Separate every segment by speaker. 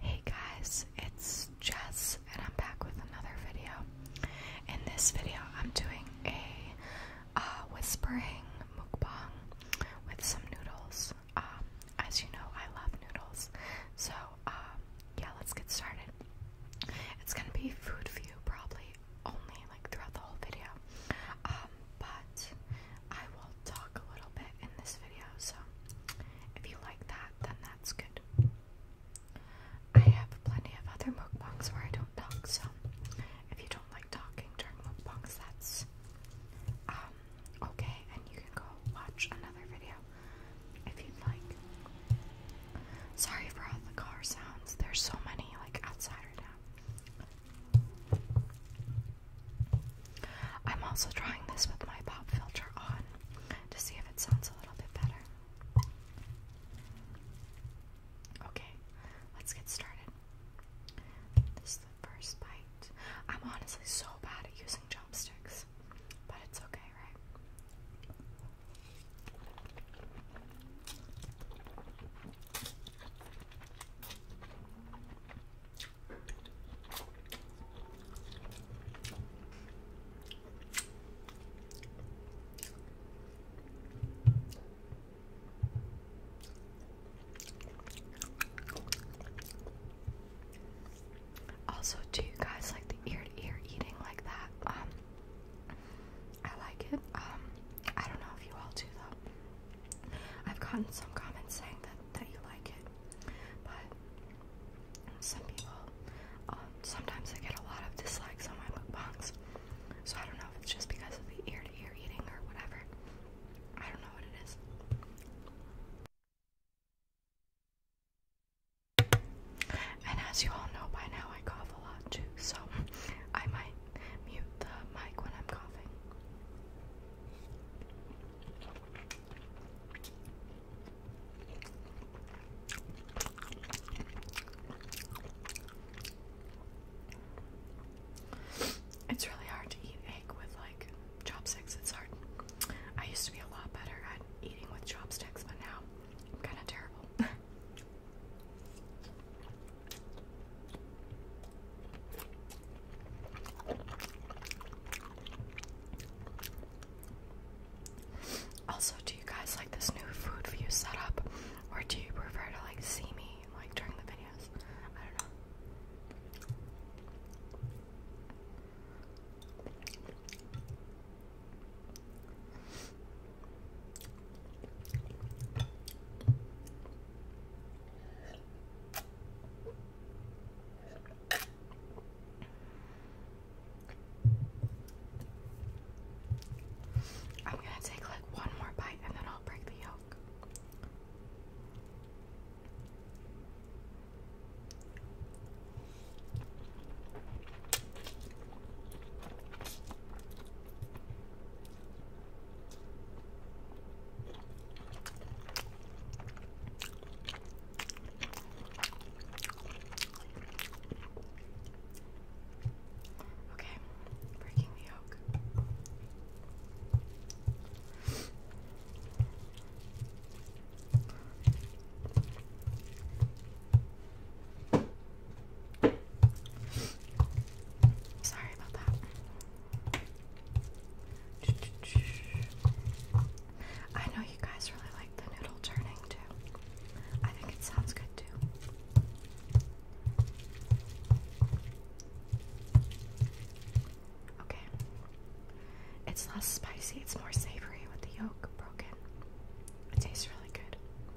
Speaker 1: Hey guys, it's Jess and I'm back with another video. In this video, I'm doing a uh, whispering mukbang with some noodles. Um, as you know, I love noodles. So, um, yeah, let's get started. It's gonna be food view probably only like throughout the whole video. Um, but I will talk a little bit in this video, so if you like that, then that's good. I have plenty of other mukbangs where I don't talk, so if you don't like talking during mukbangs, that's um, okay, and you can go watch another video if you'd like. Sorry for all the car sounds. There's so many like outside right now. I'm also trying this with my pop filter on to see if it sounds a little bit better. Okay, let's get started. This is the first bite. I'm honestly so bad at using chopsticks, but it's okay, right? Also, do you guys like the ear to ear eating like that? Um, I like it. Um, I don't know if you all do though. I've gotten some comments saying that that you like it, but some people, um, sometimes I get a lot of dislikes on my book mukbangs. So I don't know if it's just because of the ear to -ear eating or whatever. I don't know what it is. And as you all know by now, I cough a lot too, so I might mute the mic when I'm coughing. It's really hard to eat egg with like chopsticks. It's hard. I used to be a lot better at eating with chopsticks, but now I'm kind of terrible. Also, do you guys like this new food view setup, or do you prefer to like see me like during the videos? I don't know. I'm going to take like one more bite and then I'll break the yolk. Okay, breaking the yolk. Sorry about that. I know you guys really like the noodle turning too. I think it sounds good too. Okay. It's less spicy, it's more savory with the yolk broken. It tastes really good.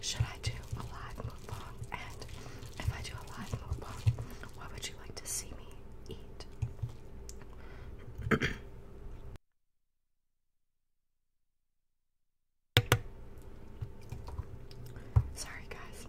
Speaker 1: should I do a live on? And if I do a live on, what would you like to see me eat? Sorry, guys.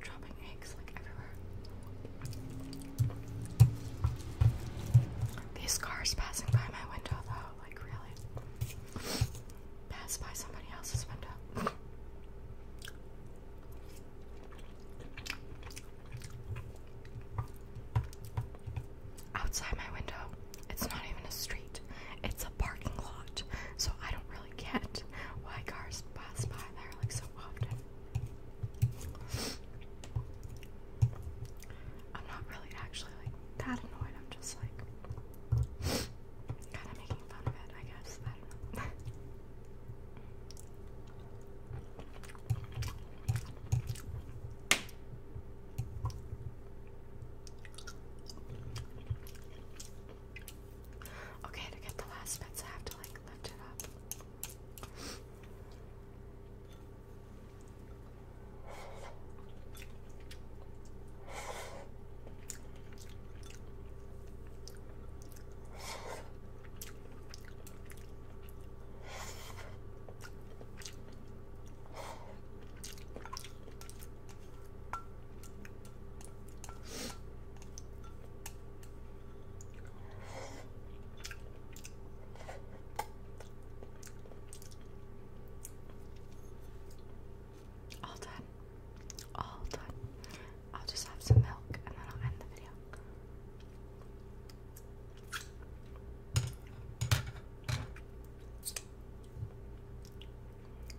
Speaker 1: Dropping eggs like everywhere. These cars passing by my window, though, like really. Pass by somebody else's window outside my window. It's not even a street, it's a parking lot. So I don't really get why cars pass by there like so often. I'm not really actually like that annoyed, I'm just like kind of making fun of it, I guess. Okay, to get the last bits, I have to like lift it up. All done. All done. I'll just have some milk and then I'll end the video.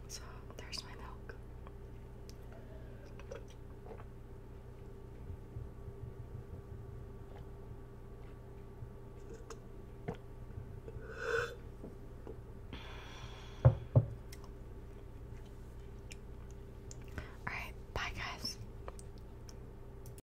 Speaker 1: So there's my milk. All right, bye guys.